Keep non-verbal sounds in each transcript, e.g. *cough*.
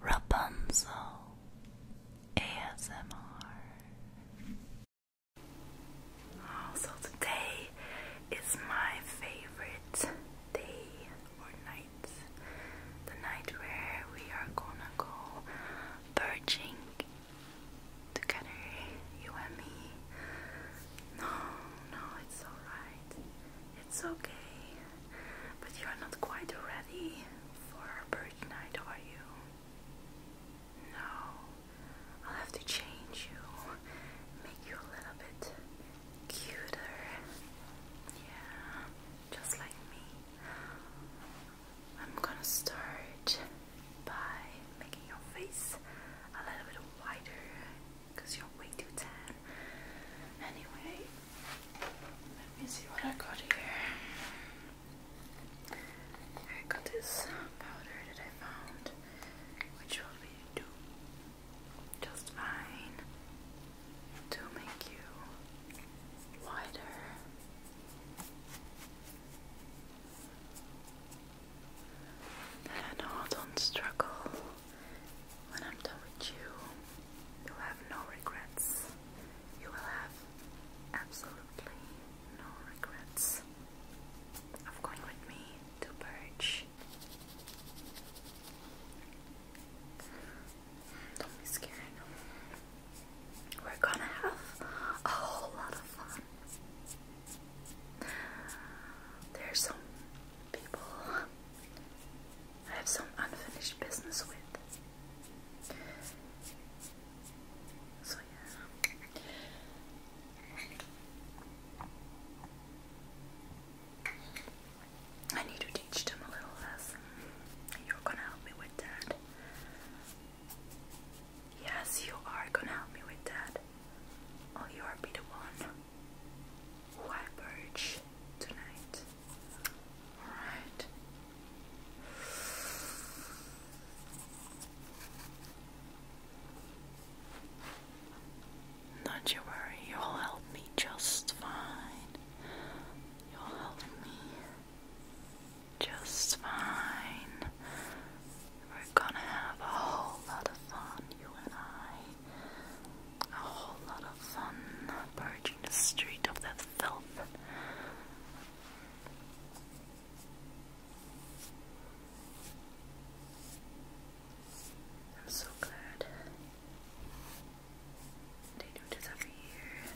Rapunzel ASMR. Oh, is my favorite day or night. The night where we are gonna go perching together, you and me. No, no, it's alright. It's okay. But you're not quite ready for our birthday night, are you? No. I'll have to change you. Make you a little bit cuter. Yeah, just like me. I'm gonna start by making your face a little bit wider because you're way too tan. Anyway, let me see what I got here. I got this powder that I found, which will be just fine to make you wider. And don't struggle when I'm done with you, you'll have no regrets. You will have absolutely no regrets of going with me to Birch. Don't be scared. We're gonna have a whole lot of fun. There's some people I have some unfinished business with. So, yeah. I need to teach them a little lesson. You're gonna help me with that. Yes, you are gonna help me with that. Oh, you are be the one white purge tonight. Alright. Not you worry, you'll help me just fine. You'll help me just fine. We're gonna have a whole lot of fun, you and I a whole lot of fun barging the street of that filth. I'm so glad they do this every year.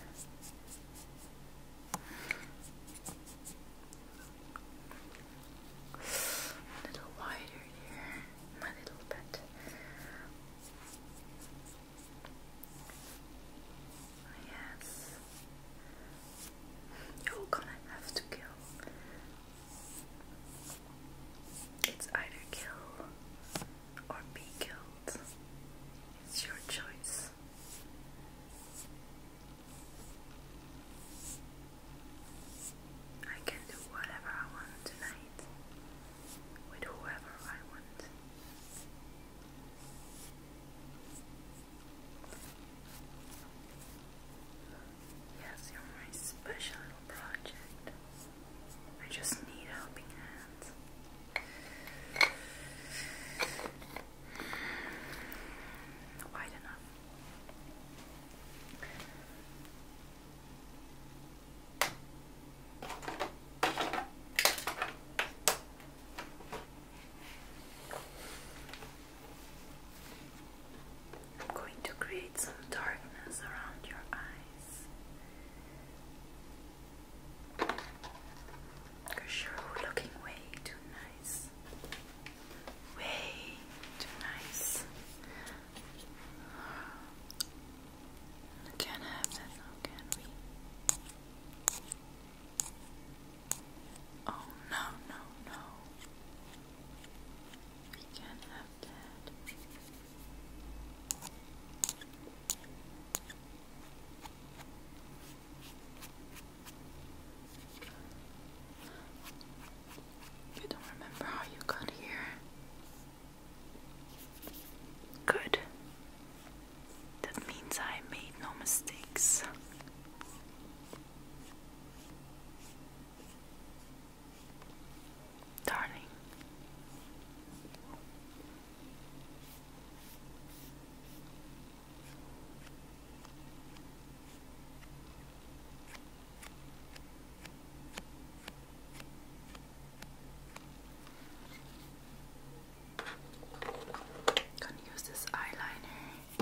A little wider here, little pet. Yes, you're gonna have to kill. It's either kill or be killed. It's your choice. I can do whatever I want tonight with whoever I want. Yes, you're my special project. I just need helping hand. Wide enough. I'm going to create some darkness around your eyes. Cause you're looking way too nice. Way too nice. We can't have that now, can we? Oh no, no, no. We can't have that. You don't remember how you got here? Good. That means I made no mistakes. Darling. Gonna use this eyeliner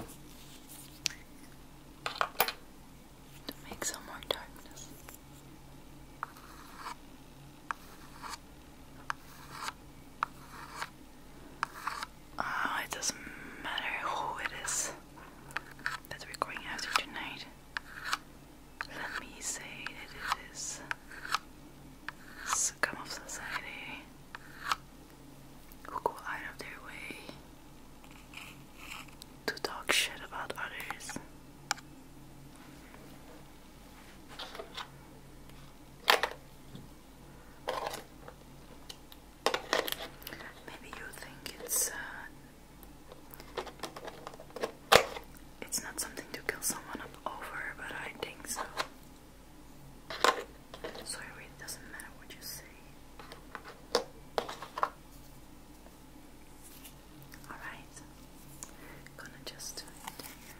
to make some more darkness. Oh, it doesn't matter who it is. That's we're after tonight. Let me say that it is scum of society who go out of their way to talk shit about others. Maybe you think it's uh, it's not something to kill someone up over, but I think so. So it doesn't matter what you say. Alright, gonna just do it here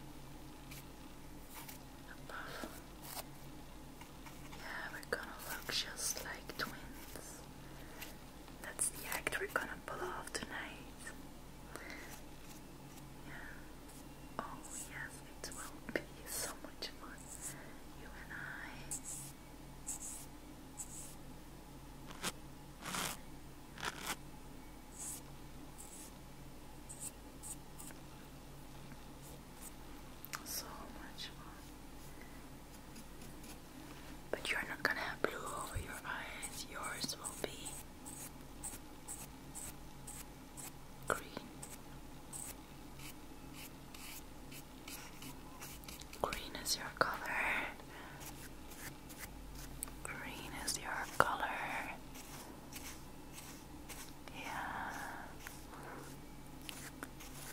above. Yeah, we're gonna look just like twins. That's the act we're gonna pull off tonight. Yeah. Oh, yes, it will be so much fun. You and I. So much fun. But you're not gonna have blue over your eyes, yours will be green. Green is your color. Green is your color. Yeah.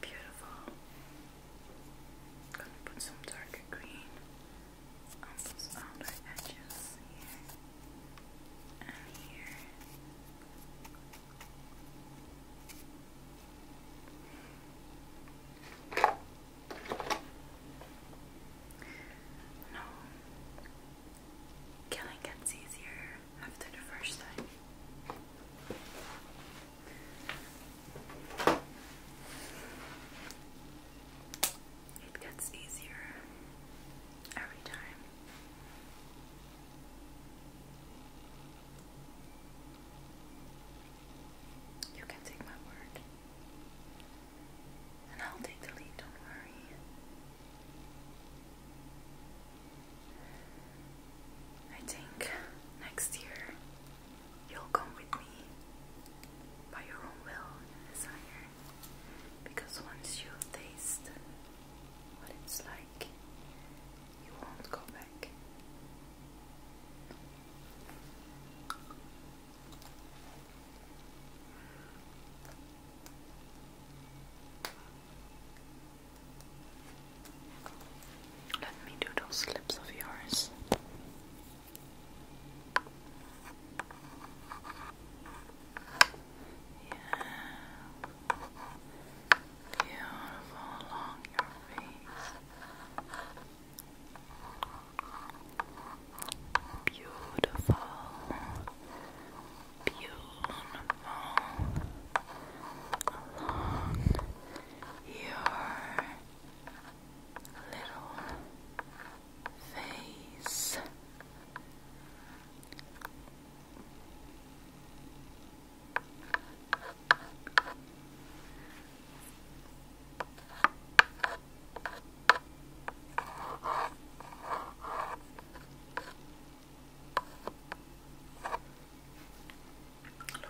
Beautiful. Gonna put some darker green on those outer edges here and here. No, killing gets easier after the first time. It gets easier every time. You can take my word. And I'll take the lead, don't worry. I think next year you'll come with me by your own will and desire. Because once you taste what it's like, you won't go let me do those lips of yours. Yeah. Beautiful along your face. Beautiful. Beautiful. Along your little face.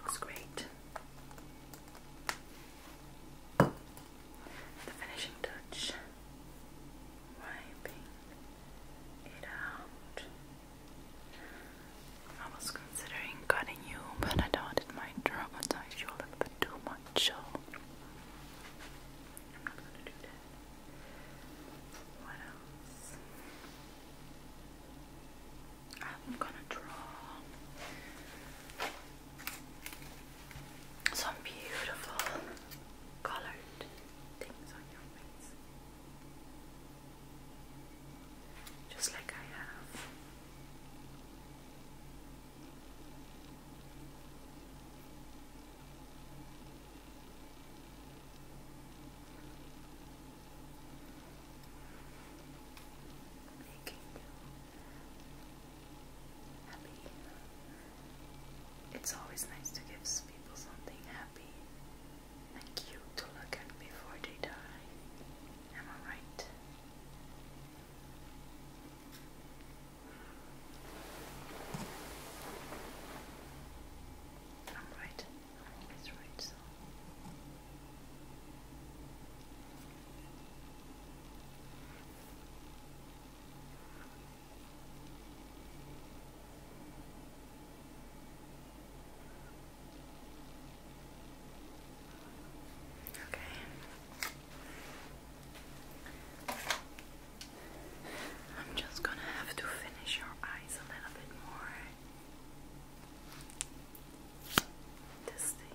Looks great. The finishing touch, wiping it out. I was considering cutting you, but I thought it might traumatize you a bit too much, so I'm not gonna do that. What else? I'm gonna draw some beautiful colored things on your face just like I have. Making you happy. It's always nice to give people something happy. Thank you, to before they die. Am I right? am I'm always right, Okay. I'm just gonna have to finish your eyes a little bit more. This thing.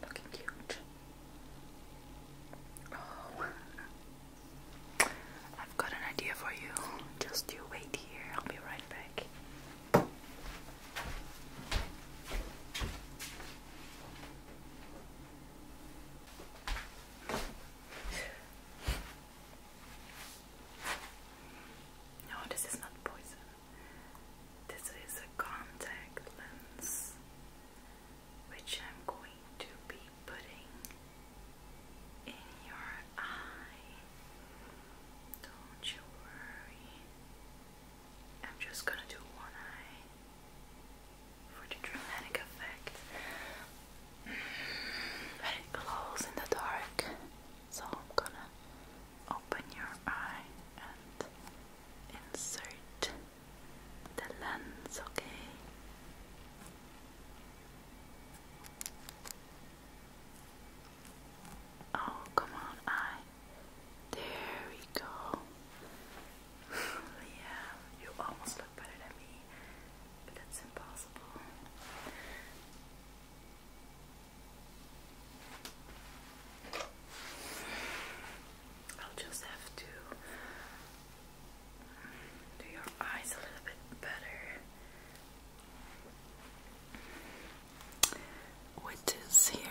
Looking cute. Oh, I've got an idea for you. Just you wait here. I'll be right back. No, this is not poison. This is a contact lens which I'm going to be putting in your eye. Don't you worry. I'm just gonna do one eye for the dramatic effect. Mm, it glows in the dark, so I'm gonna open your eye and insert the lens, okay? Oh, come on, eye. There we go. *sighs* yeah, you almost look better than me, but that's impossible. I'll just have to do your eyes a little bit better with here.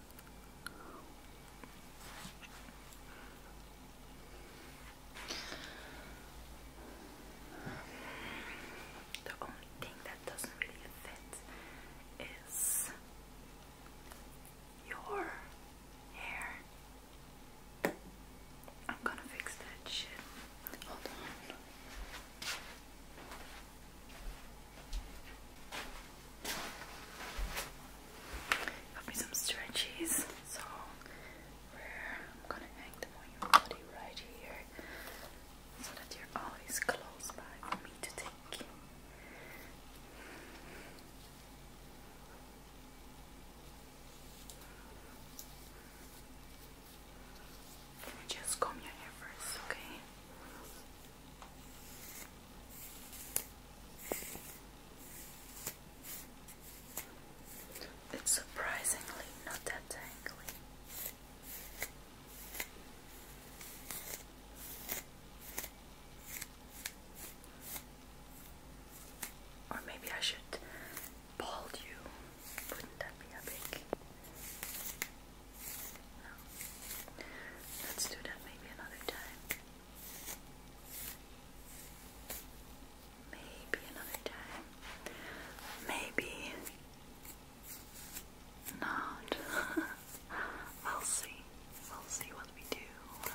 The only thing that doesn't really fit is your hair. I'm gonna fix that shit. Hold on. Got me some stretchies, so I'm gonna hang them on your body right here so that you're always close by for me to take. just comb your hair first, okay? It's surprisingly not that tangly. Or maybe I should bald you. Wouldn't that be a big? No. Let's do that maybe another time. Maybe another time. Maybe not. *laughs* we'll see. We'll see what we do. Okay.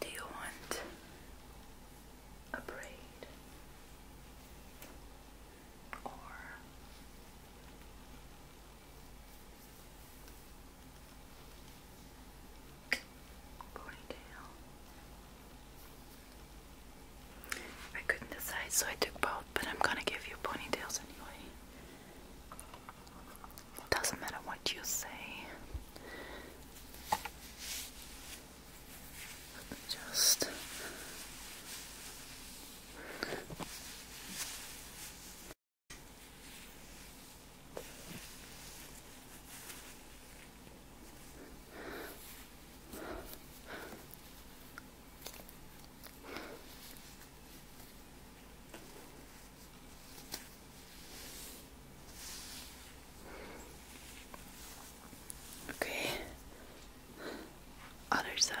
Do you want a braid or ponytail? I couldn't decide, so I took both, but I'm gonna give you ponytails anyway. Doesn't matter what you say. Just Okay. Other side.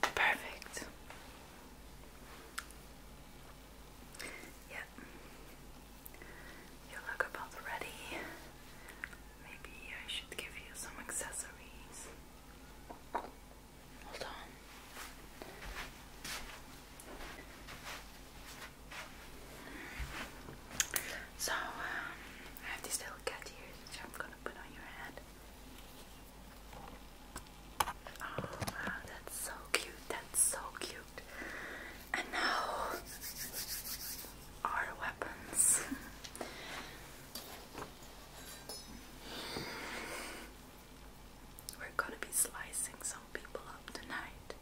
Perfect. Yep. You look about ready. Maybe I should give you some accessories. Hold on. So, um, I have these little cat ears which I'm gonna put on your head. Oh that's so cute, that's so cute. And now, our weapons. *laughs* We're gonna be slicing some people up tonight.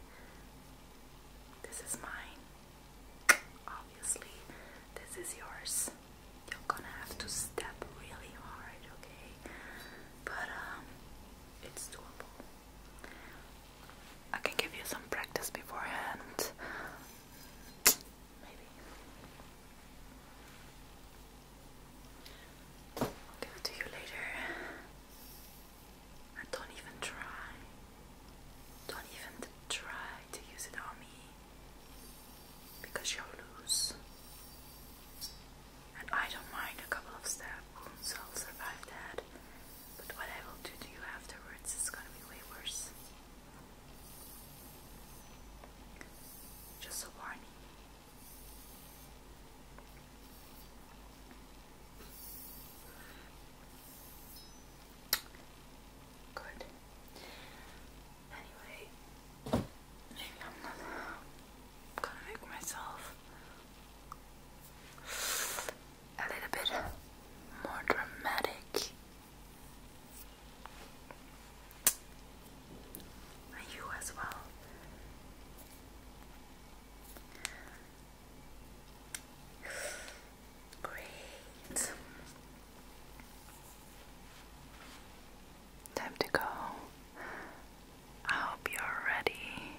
This is mine. Obviously, this is yours. You're gonna have to step really hard, okay? But um it's doable. I can give you some practice beforehand. Maybe. I'll give it to you later. I don't even try. Don't even try to use it on me because you'll lose. And I don't mind a couple of stab wounds, I'll survive that. But what I will do to you afterwards is gonna be way worse. Just a warning Good. Anyway, I'm gonna make myself a little bit more dramatic. you as well. Great. Time to go. I hope you're ready.